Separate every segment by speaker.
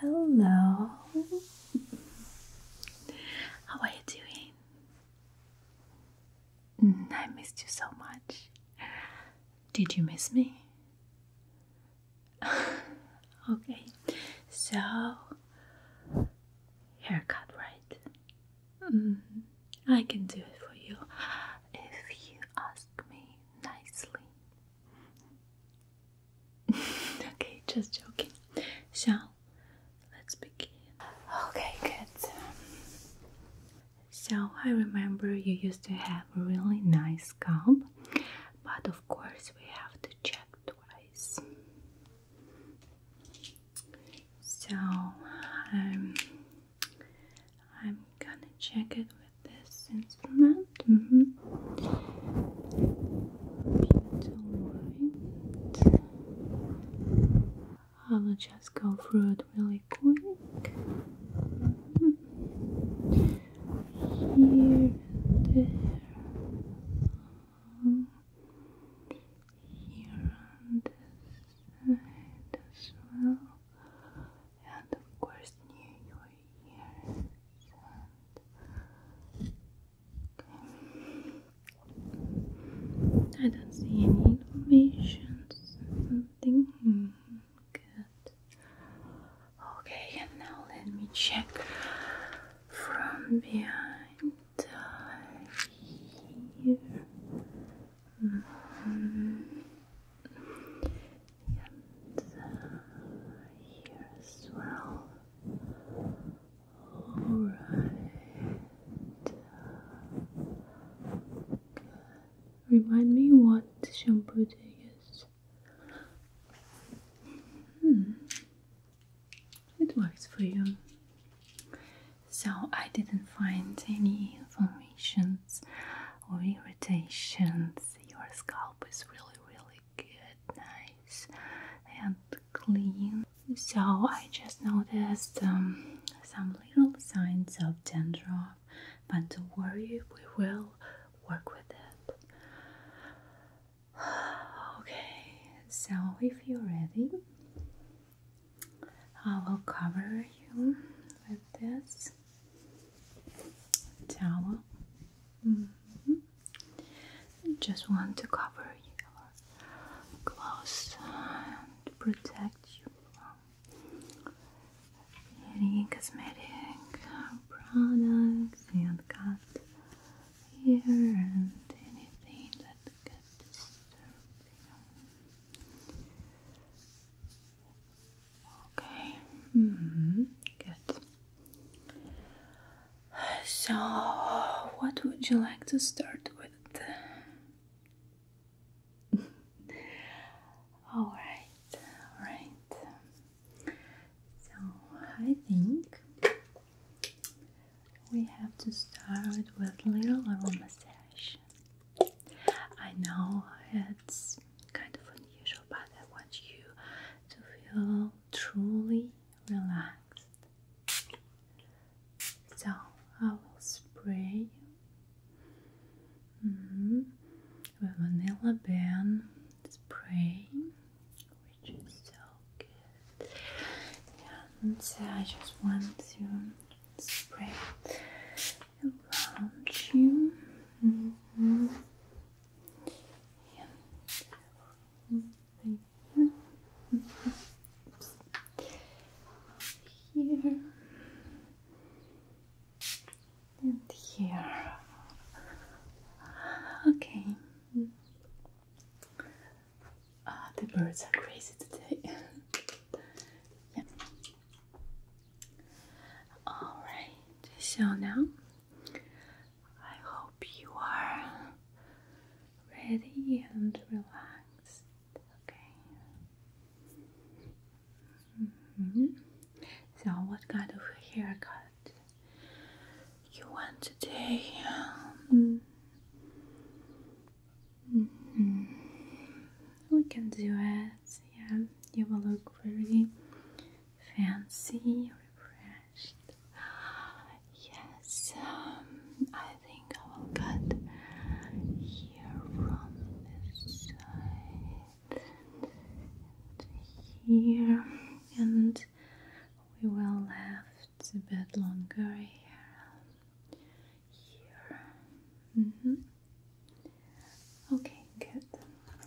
Speaker 1: Hello. How are you doing? Mm, I missed you so much. Did you miss me? okay, so haircut, right? Mm, I can do it for you if you ask me nicely. okay, just joking. So, let's begin. Okay, good. So, I remember you used to have a really nice scalp, but of course, we have to check twice. So, um, I'm gonna check it with this instrument. Mm -hmm. I will just go through it really quick. Here, there. here on this side as well and of course near your ears. I don't see any informations. Something good. Okay, and now let me check from behind uh, here. Mm-hmm. Remind me what shampoo to use. Hmm. It works for you. So I didn't find any information. or irritations. Your scalp is really, really good, nice and clean. So, I just noticed um, some little signs of dandruff, but don't worry, we will work with it. Okay, so if you're ready, I will cover you with this towel. Mm-hmm. Just want to cover your clothes and protect you from any cosmetic products and cut here and anything that could disturb you. Okay. Mm-hmm. Good. So, what would you like to start with? all right, all right. So, I think we have to start with little little I know it's kind of unusual, but I want you to feel truly relaxed. So I will spray mm -hmm. with vanilla bean spray, which is so good. And uh, I just want to spray around you. Mm Here and here. Okay. Ah, the birds are crazy today. yeah. Alright, so now I hope you are ready and relaxed. Okay. Mm-hmm. So, what kind of haircut you want today? Mm-hmm. Mm-hmm. We can do it. Yes, yeah, you will look really fancy, refreshed. Yes, um, I think I will cut here from this side and here, and we will left a bit longer here. Here. Mm-hmm. Okay, good.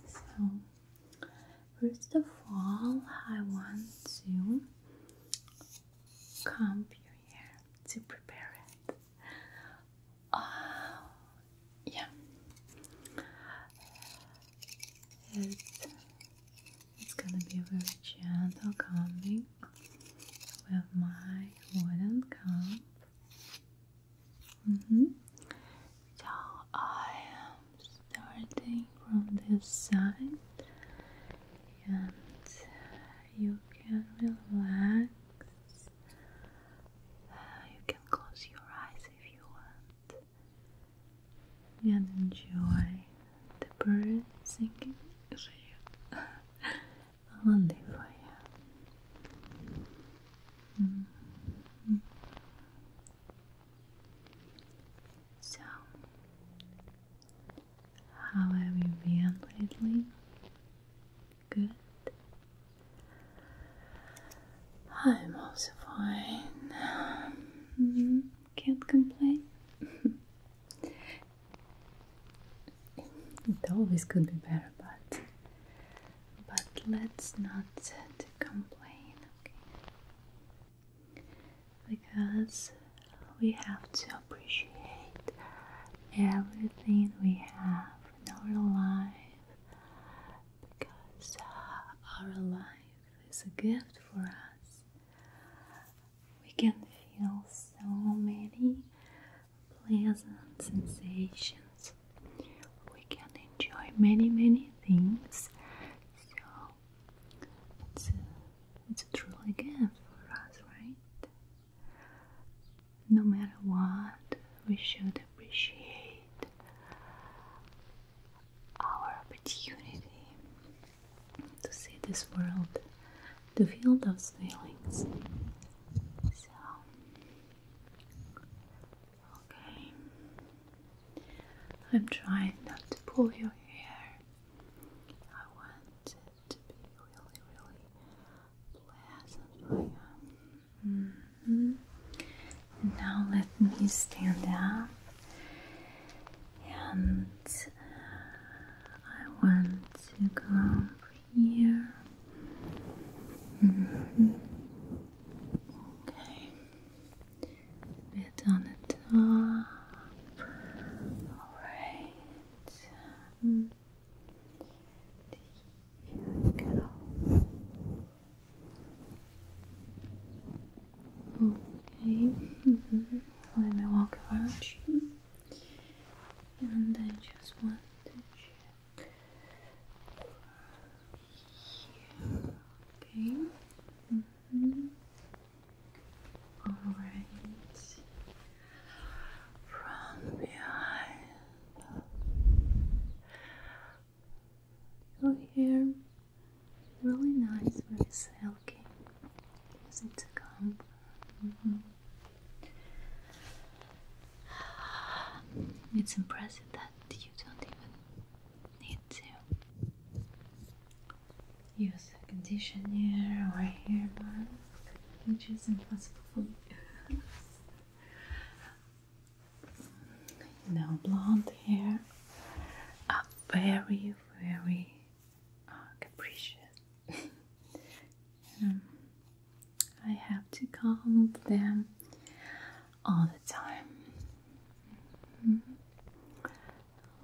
Speaker 1: So, first of all, I want to comb your hair to prepare it. Ah, yeah. it's gonna be a very gentle combing with my wooden comb. So mm-hmm. I am starting from this side, and you can relax. Uh, you can close your eyes if you want, and enjoy the birds singing. lonely for you. Mm-hmm. So, how have you been lately? Good. I'm also fine. Mm-hmm. Can't complain. it always could be better, but but let's not complain, okay? Because we have to appreciate everything we have in our life because our life is a gift for us. We can feel so many pleasant sensations. We can enjoy many, many things. So it's a, it's truly gift for us, right? No matter what, we should appreciate our opportunity to see this world, to feel those feelings. So, Okay. I'm trying not to pull your hair. I want it to be really, really pleasant mm-hmm. Now let me stand up and uh, I want to come here. Mm -hmm. Bit on the top. Alright. Mm-hmm. Okay. Mm-hmm. Let me walk around you. And I just want to check Okay. All right. From behind. Your hair really nice, very silky. Is it comb? It's impressive that you don't even need to use a conditioner or a hair mask, which is impossible for me. you know, blonde hair are very, very uh, capricious. Um, I have to calm them all the time.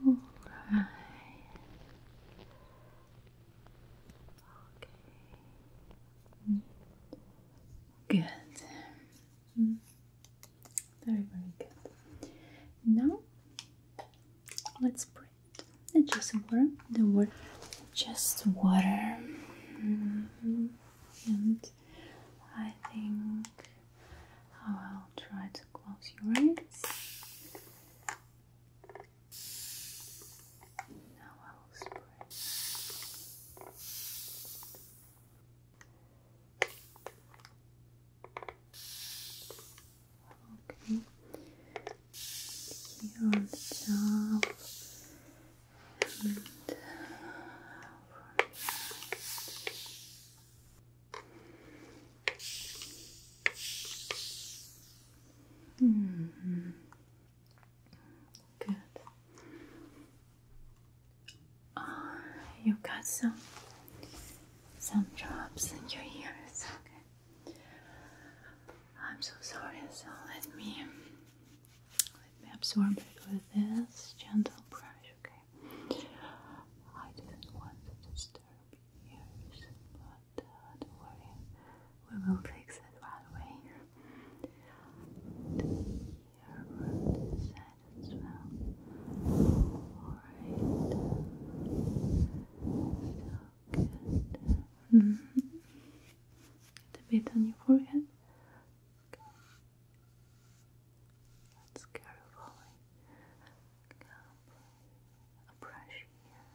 Speaker 1: Alright. Okay. Good. Very, very good. Now, let's breathe. It's just water. The word just water. Mm-hmm. And I think I will try to close your eyes. Now I will spray. Okay here on and -hmm. Good. Oh, uh, you got some some drops in your ears. I'm so sorry, so let me let me absorb it with this gentle brush, okay? I didn't want to disturb yours, but uh, don't worry, we will fix it right away. Here on this side as well. Alright. Get a bit on your forehead. Okay. let a brush here.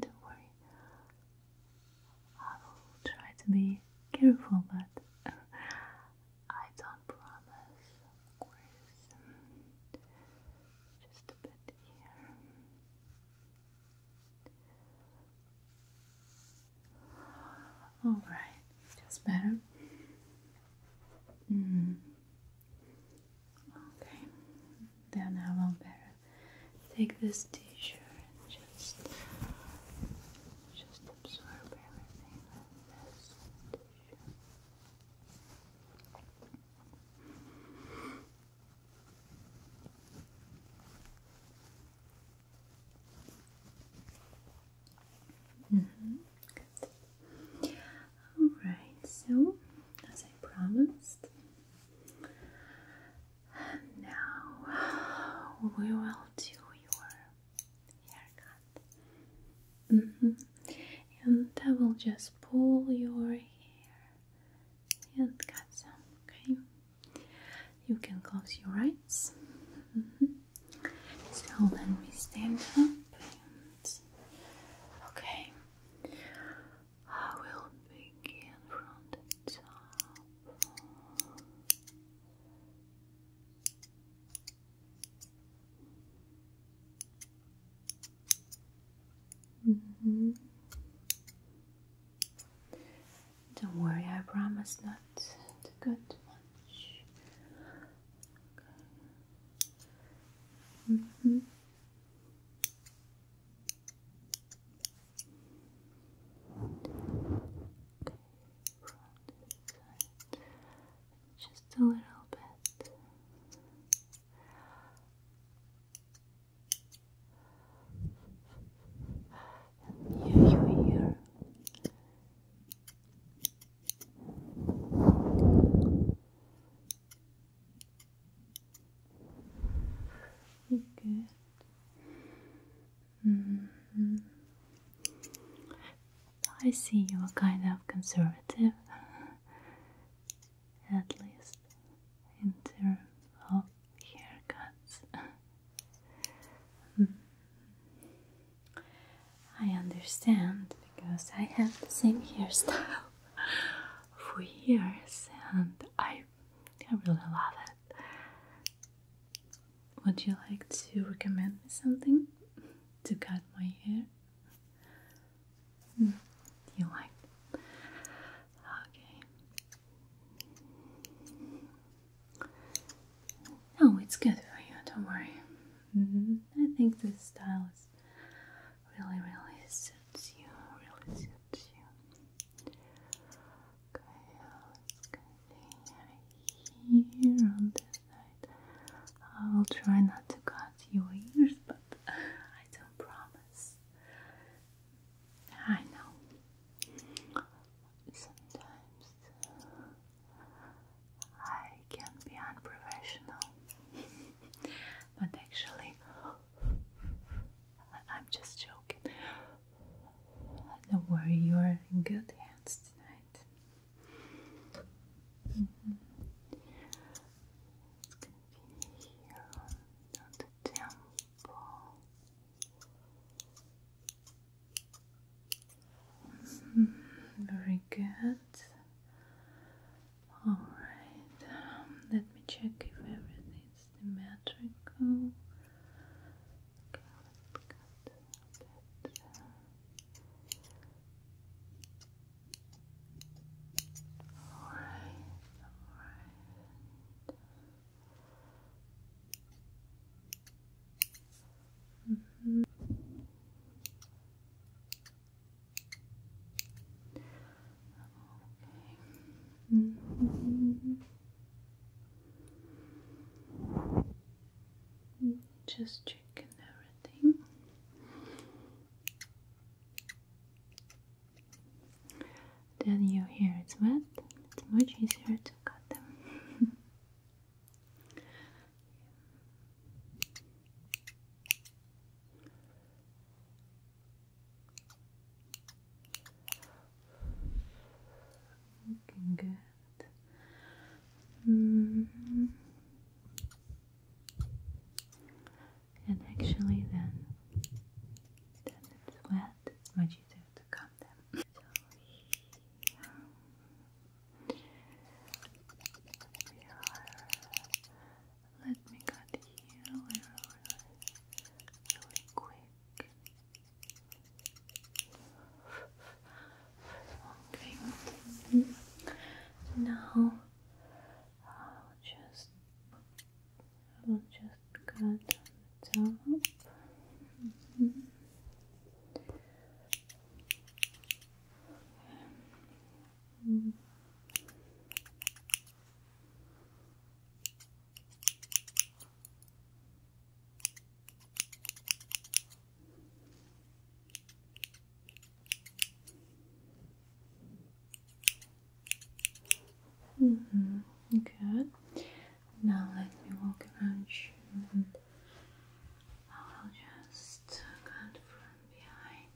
Speaker 1: Don't worry. I will try to be careful, but I don't promise, of course just a bit here. All right, that's better. Mm. Okay, then I will better take this tissue and just just absorb everything on this tissue. All right, so as I promised, now we will do your haircut. Mm-hmm. And I will just pull your hair and cut some. Okay. You can close your eyes. Mm-hmm. So let me stand up. And okay. I will begin from the top. Mm-hmm. Don't worry, I promise not to go too much. Mm-hmm just a little bit. And you here. Good. -hmm. I see you are kind of conservative. at least in terms of haircuts. Hmm. I understand because I have the same hairstyle for years and I, I really love it. Would you like to recommend me something to cut my hair? Mm, you like Okay. No, it's good for you, don't worry. Mm-hmm. I think this style is really, really suits you. Really suits you. Okay, let's continue here on this I will try not to cut your ears, but I don't promise. I know. Sometimes uh, I can be unprofessional, but actually, I'm just joking. Don't worry, you're in good hands tonight. Let's continue on the temple. Mm-hmm. Very good. Alright, um, let me check if everything's symmetrical. All right, all right. -hmm. Okay. Mm -hmm. Mm-hmm just checking everything. Then your hair is wet, it's much easier to cut them. Looking good. -hmm. And actually, then, then it's wet. It's what you to calm them. So Let me cut here. We really quick. Okay. Now I'll just I'll just cut the top. Mm -hmm. Good. Now let me walk around you I will just cut from behind.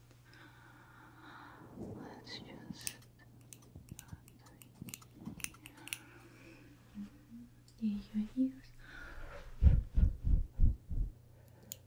Speaker 1: Let's just mm your ears.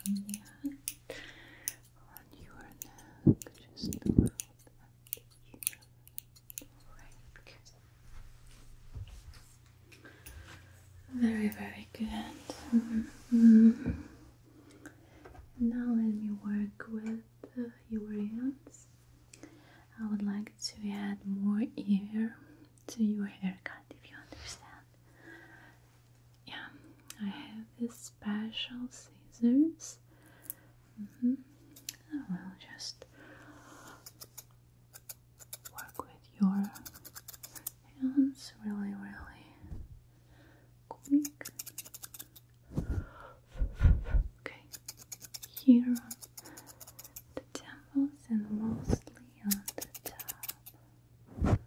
Speaker 1: from the end on your neck, just a little bit here. Right. Very, very good. Mm-hmm. Now let me work with uh, your hands. I would like to add more hair to your haircut if you understand. Yeah, I have these special scissors. Mm will just work with your hands really, really quick. Okay, here the temples and mostly on the top. And here. Okay.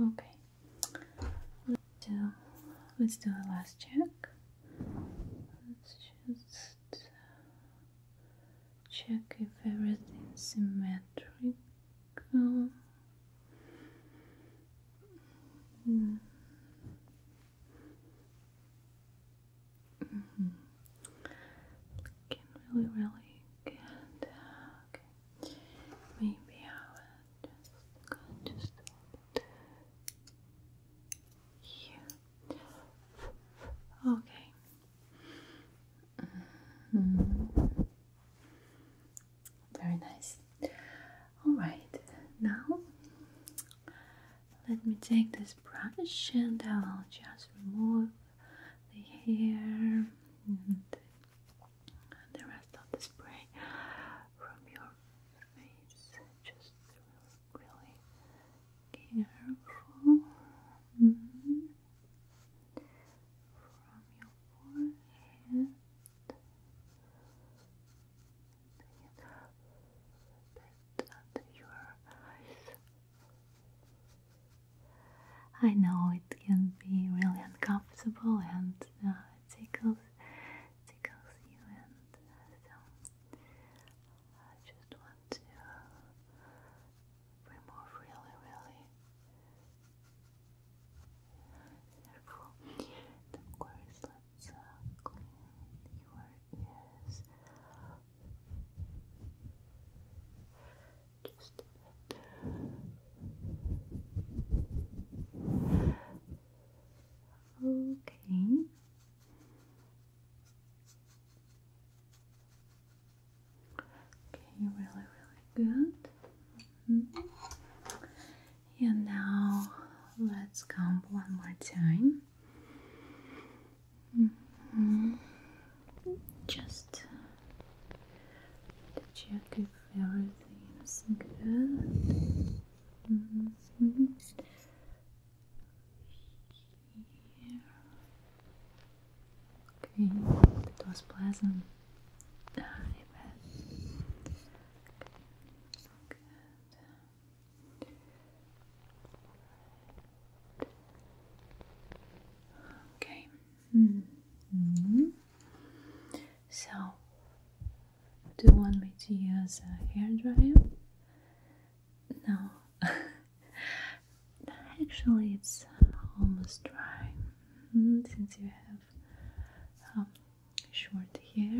Speaker 1: Okay. Let's do let's do a last check. Let's just check if everything's symmetrical. Hmm. Mm really, really good. Okay. Maybe I would just go just here. Okay. Mm-hmm. Very nice. Alright, now let me take this brush and I will just remove the hair the rest of the spray from your face. Just really, careful. From your forehead. Bit under your eyes, I know it can be really uncomfortable and uh, tickles, tickles you, and uh, so I just want to remove really, really careful. of course, let's uh, clean your ears. Just Okay. Okay, really, really good. Mm-hmm. And now let's count one more time. Mm-hmm. Just to check if everything is good. Mm -hmm. Here. Okay, that I bet. Okay, so good. Okay. -hmm. So, do you want me to use a hair dryer? No. Actually, it's almost dry mm-hmm, since you have um, short hair.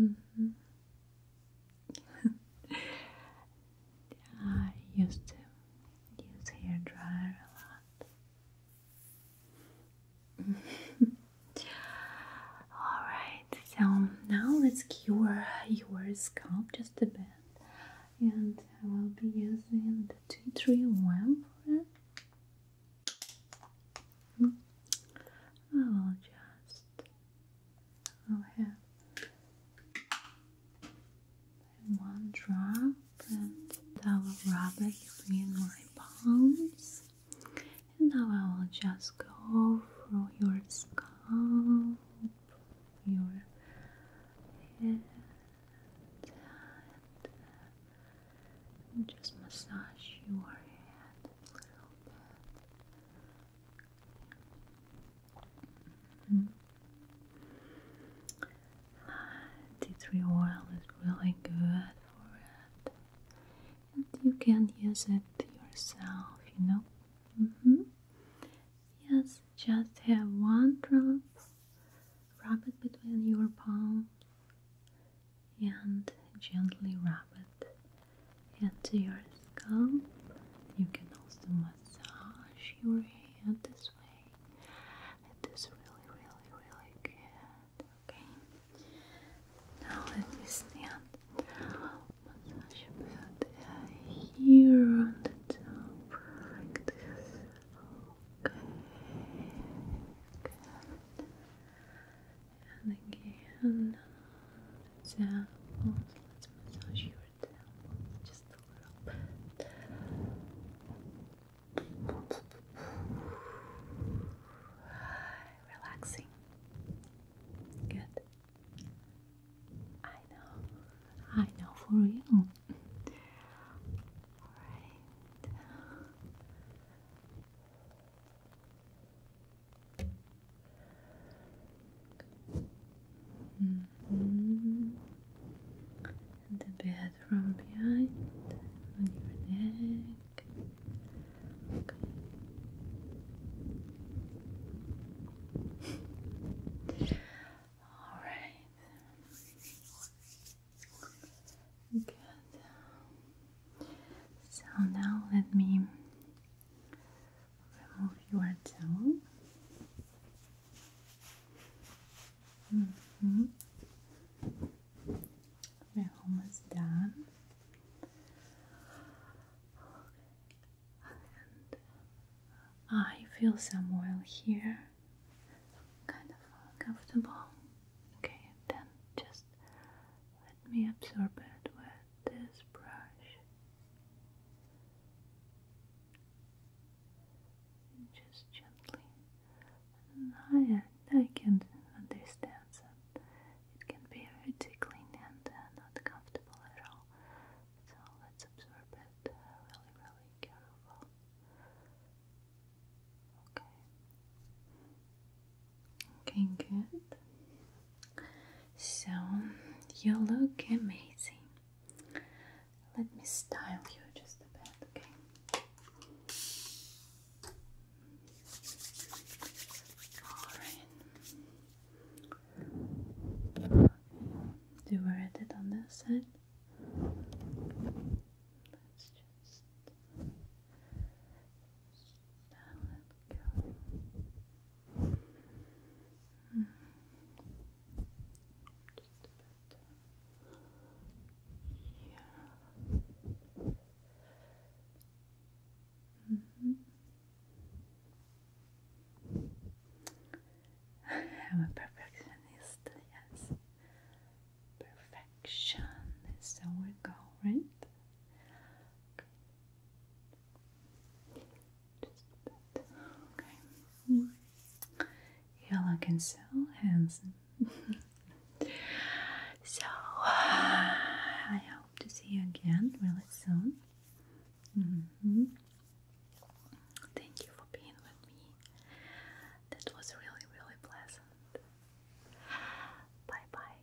Speaker 1: Mm-hmm. I used to use hair dryer a lot. Alright, so now let's cure your scalp just a bit. And I will be using the tea tree oil for it. Hmm. I will just I'll have one drop and I will rub it between my palms and now I will just go through your scalp, your head and just massage your head a little bit Mm -hmm. Tea tree oil is really good for it, and you can use it yourself, you know. Mm-hmm. Yes, just have one drop, rub it between your palms, and gently rub it and to your scalp. You can also massage your head this way. It is really, really, really good. Okay. Now let me stand. Massage a bit here on the top, like this. Okay. And again. So, Let's massage your tail. just a little bit. Relaxing. Good. I know. I know for you. Alright. Mm-hmm. the bed behind on your neck. Okay. All right. Good. So now let me remove your tongue. Mm -hmm. we almost done. I feel some oil here, kind of uncomfortable. Okay, then just let me absorb it with this brush. just gently. I, I can understand that it can be very tickling and uh, not comfortable at all. So let's absorb it uh, really, really careful. Okay. Okay, good. So, you look amazing. Let me style you just a bit, okay? Alright. Do we read it on this side? Let's just. Style it. I'm a perfectionist, yes. Perfection is our goal, right? Okay. Just a bit. Okay. Mm. You're looking so so, I hope to see you again really soon. Mm-hmm. Thank you for being with me. That was really, really pleasant. Bye bye.